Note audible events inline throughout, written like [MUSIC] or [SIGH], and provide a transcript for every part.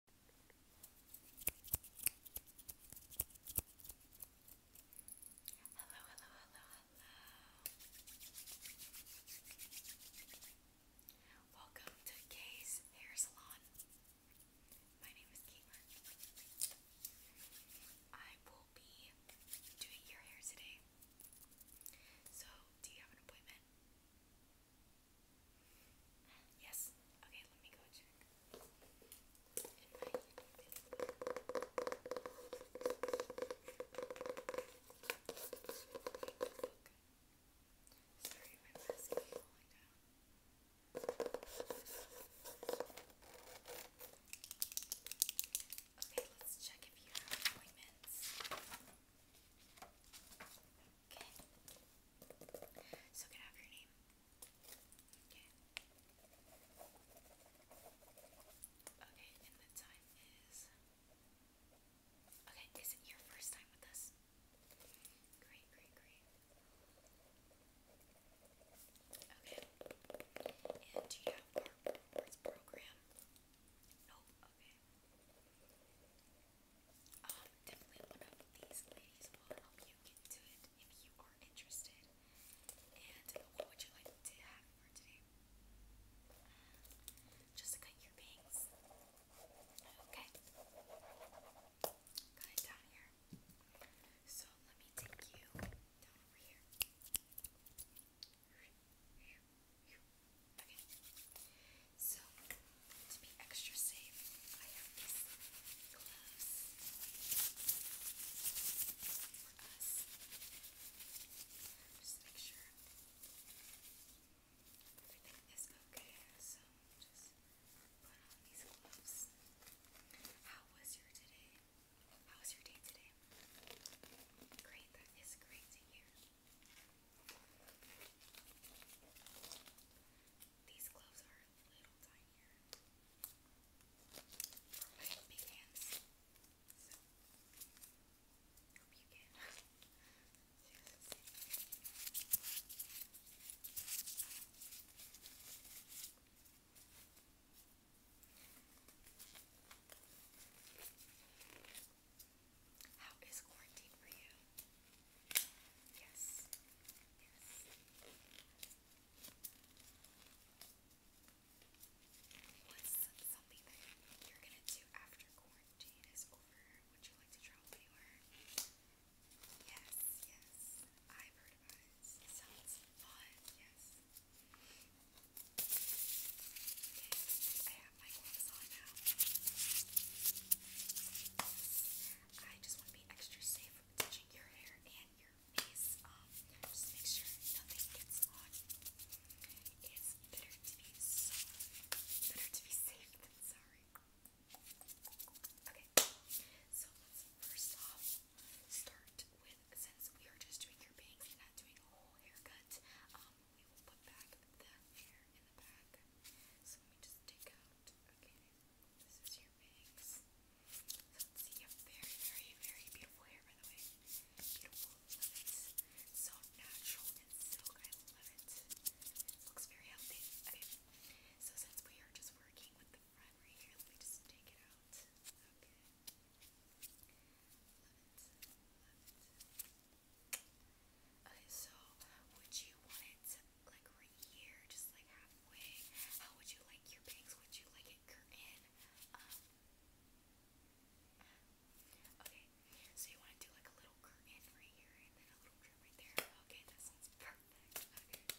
Hello, hello, hello, hello. Welcome to Kay's Hair Salon. My name is Caitlin. I will be doing your hair today. So, do you have an appointment? Yes. Okay, let me go check. Sorry, my mask falling down. Okay, let's check if you have appointments. Okay. So can I your name? Okay. Okay, and the time is Okay, is it your first time with us? Great, great, great. Okay. And do you have our rewards program? Nope, okay. Um, definitely one of these ladies will help you get into it if you are interested. And what would you like to have for today? Just to Okay. Got down here. So let me take you down over here. Okay. So to be extra safe, I have these gloves Just make sure everything is okay. So just put on these gloves. How was your today? How was your day today? Great, that is great to these gloves are a little tinier for my big hands. So hope you can [LAUGHS] Okay, how is quarantine for you? Yes. Yes. What's something that you're gonna do after quarantine is over? Would you like to travel anywhere? Yes, yes. I've heard about it. Sounds fun, yes. Okay, I have my gloves on now. I just want to be extra safe from touching your hair and your face. Um, just make sure nothing gets on. It's better to be so better to be safe than sorry. Okay, so let's first off start with since we are just doing your bangs and not doing a whole haircut. Um, we will put back the hair in the back. So let me just take out, okay, this is your bangs. So see, you have very, very, very beautiful hair, by the way. Beautiful, So natural and silk, I love it. Looks very healthy. Okay, so since we are just working with the primary here, let me just take it out. Okay. Okay, so would you want it like right here, just like halfway? How would you like your bangs? Would you like it curtain? Um, okay, so you want to do like a little curtain right here and then a little trim right there. Okay, that sounds perfect.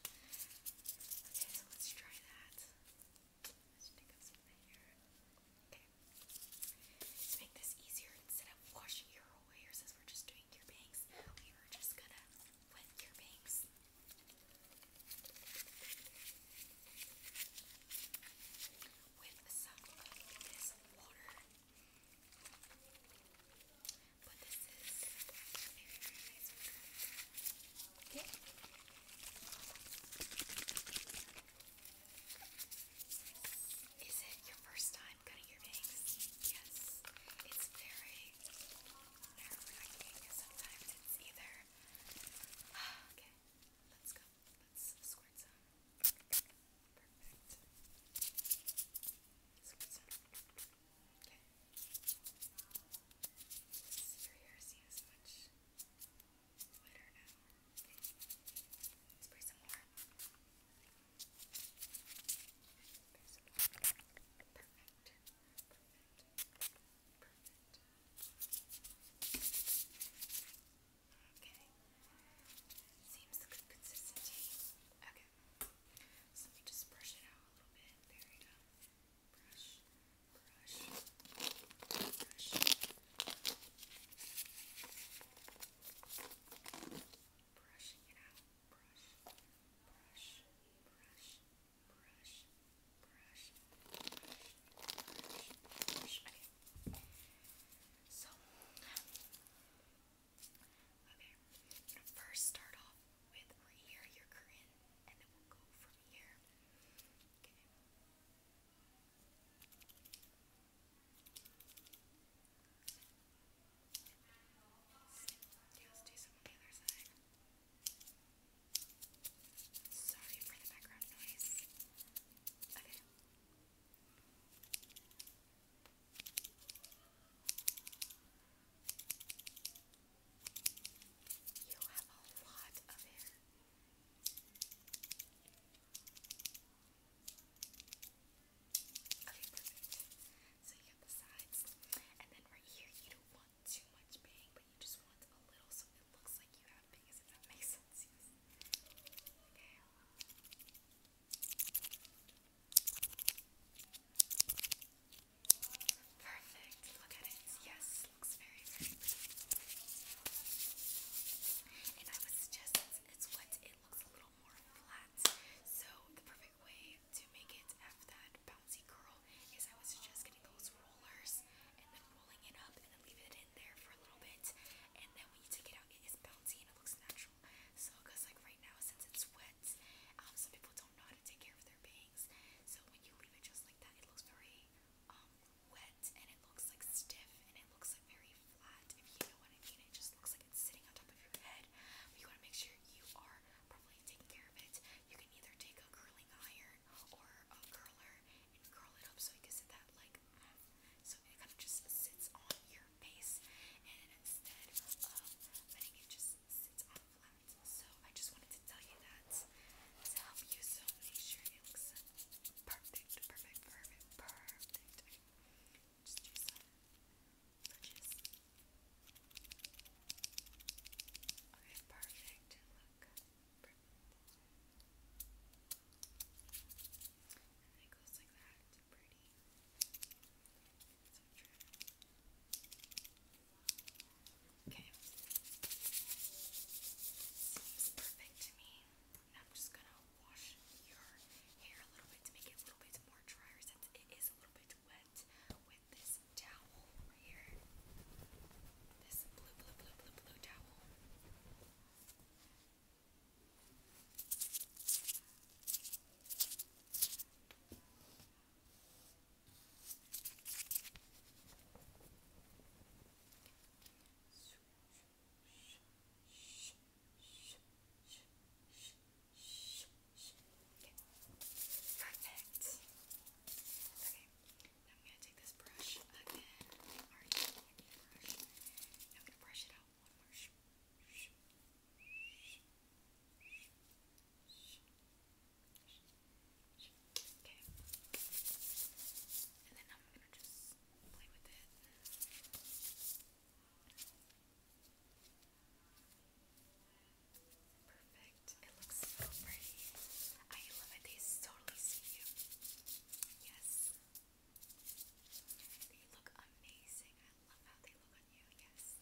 Okay, so let's try that. Let's pick up some hair. Okay. To make this easier, instead of washing your whole hair, since we're just doing your bangs, we are just gonna wet your bangs. With some of this water. But this is very, very nice water. Okay. Is it your first time cutting your bangs? Yes. It's very nerve-wracking. Sometimes either. [SIGHS] okay, let's go. Let's squirt some. Perfect. Squirt some. Okay glitter now. Okay. Let's spray some more. Spray some more. Perfect. Perfect. Perfect. Okay. Seems a good consistency. Okay. So let me just brush it out a little bit. There we go. Okay brush, brush, brush. Brushing it out. Brush, brush, brush, brush, brush, brush, brush. Okay. So, okay. first start off with where here you're and then we'll go from here Okay, let's do some on the other side. Sorry for the background noise. Okay. Okay, you have a lot of hair. Okay, perfect. So you have the sides, and then right here you don't want too much bang, but you just want a little so it looks like you have bangs, if that makes sense. Okay. Perfect. Look at it. Yes, looks very, very pretty. And I would suggest it's what it looks a little more flat. So the perfect way to make it have that bouncy curl is I would suggest getting those rollers and then rolling it up and then leave it in there for a little bit. And then when you take it out, it is bouncy and it looks natural. So, like right now, since it's wet, um, some people don't know how to take care of their baby. So when you leave it just like that, it looks very um, wet and it looks like stiff and it looks like very flat. If you know what I mean, it just looks like it's sitting on top of your head. you want to make sure you are properly taking care of it. You can either take a curling iron or a curler and curl it up so you can that like mm, so it kind of just sits on your face instead of letting it just sit flat. So I just wanted to tell you that to help you so make sure it looks perfect, perfect, perfect, perfect. Just do some touches. Okay, perfect. Look. Perfect. And it goes like that. Pretty. Okay. Seems perfect to me. Now I'm just gonna wash your hair a little bit to make it a little bit more drier since it is a little bit wet with this towel right here. This blue, blue, blue, blue, blue towel. Perfect. Okay, now I'm going to take this brush again. Alright, brush. I'm going to brush it out one more. I'm Okay. And then I'm gonna just play with it. Perfect. It looks so pretty. I love it. They totally see you. Yes. They look amazing. I love how they look on you. Yes.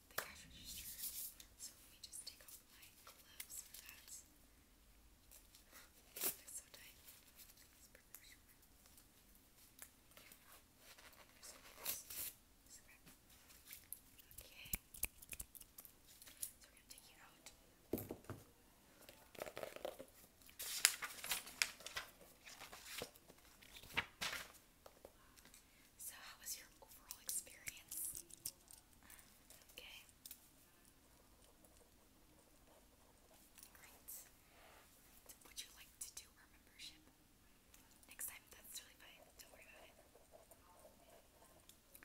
the cash register. So let me just take off my gloves for that. That's so tight. Okay. So we're gonna take you out. Okay. So, how was your overall experience? Okay. Great. Would you like to do our membership? Next time, that's really fine. Don't worry about it.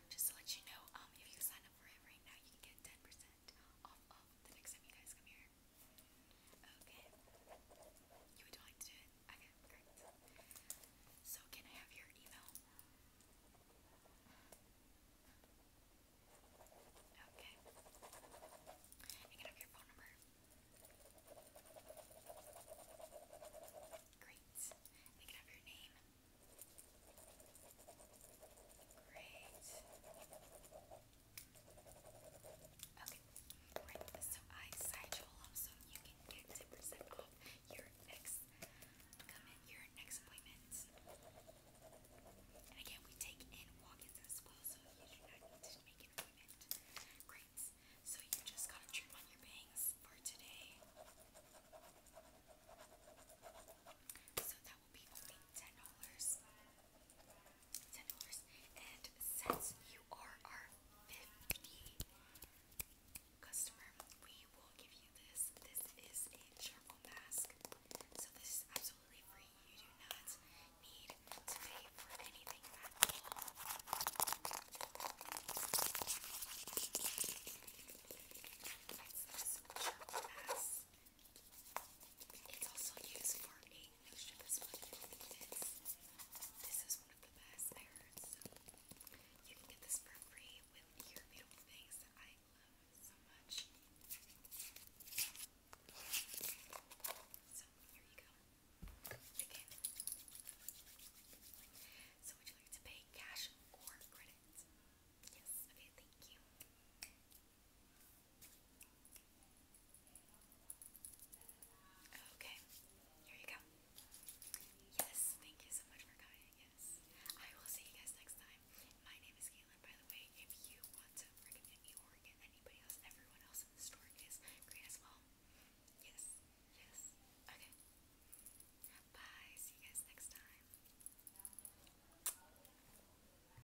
Just to let you know, um, if you sign up for it right now, you can get 10% off of the next time you guys come here. Okay. You So, can I have your email? Okay. And can I your phone number? Great. And can I your name? Great. Okay, right, so I side y'all so you can get 10% off your next come in, your next appointment. And again, we take in walk-ins as well, so you do not need to make an appointment. Great, so you just gotta trim on your bangs for today. So that will be only $10 ten since you are our 50 customer, we will give you this. This is a charcoal mask. So this is absolutely free. You do not need to pay for anything at all. It's this mask. It's also used for ink. this is one of the best pairs. You can get this for free with your beautiful things that I love so much. So here you go. So would you like to pay cash or credit? Yes. Okay, thank you. Okay, here you go. Yes, thank you so much for coming. Yes, I will see you guys next time. My name is Caitlin, by the way. If you want to recommend me or get anybody else, everyone else in the store is great as well. Yes, yes. Okay. Bye. See you guys next time.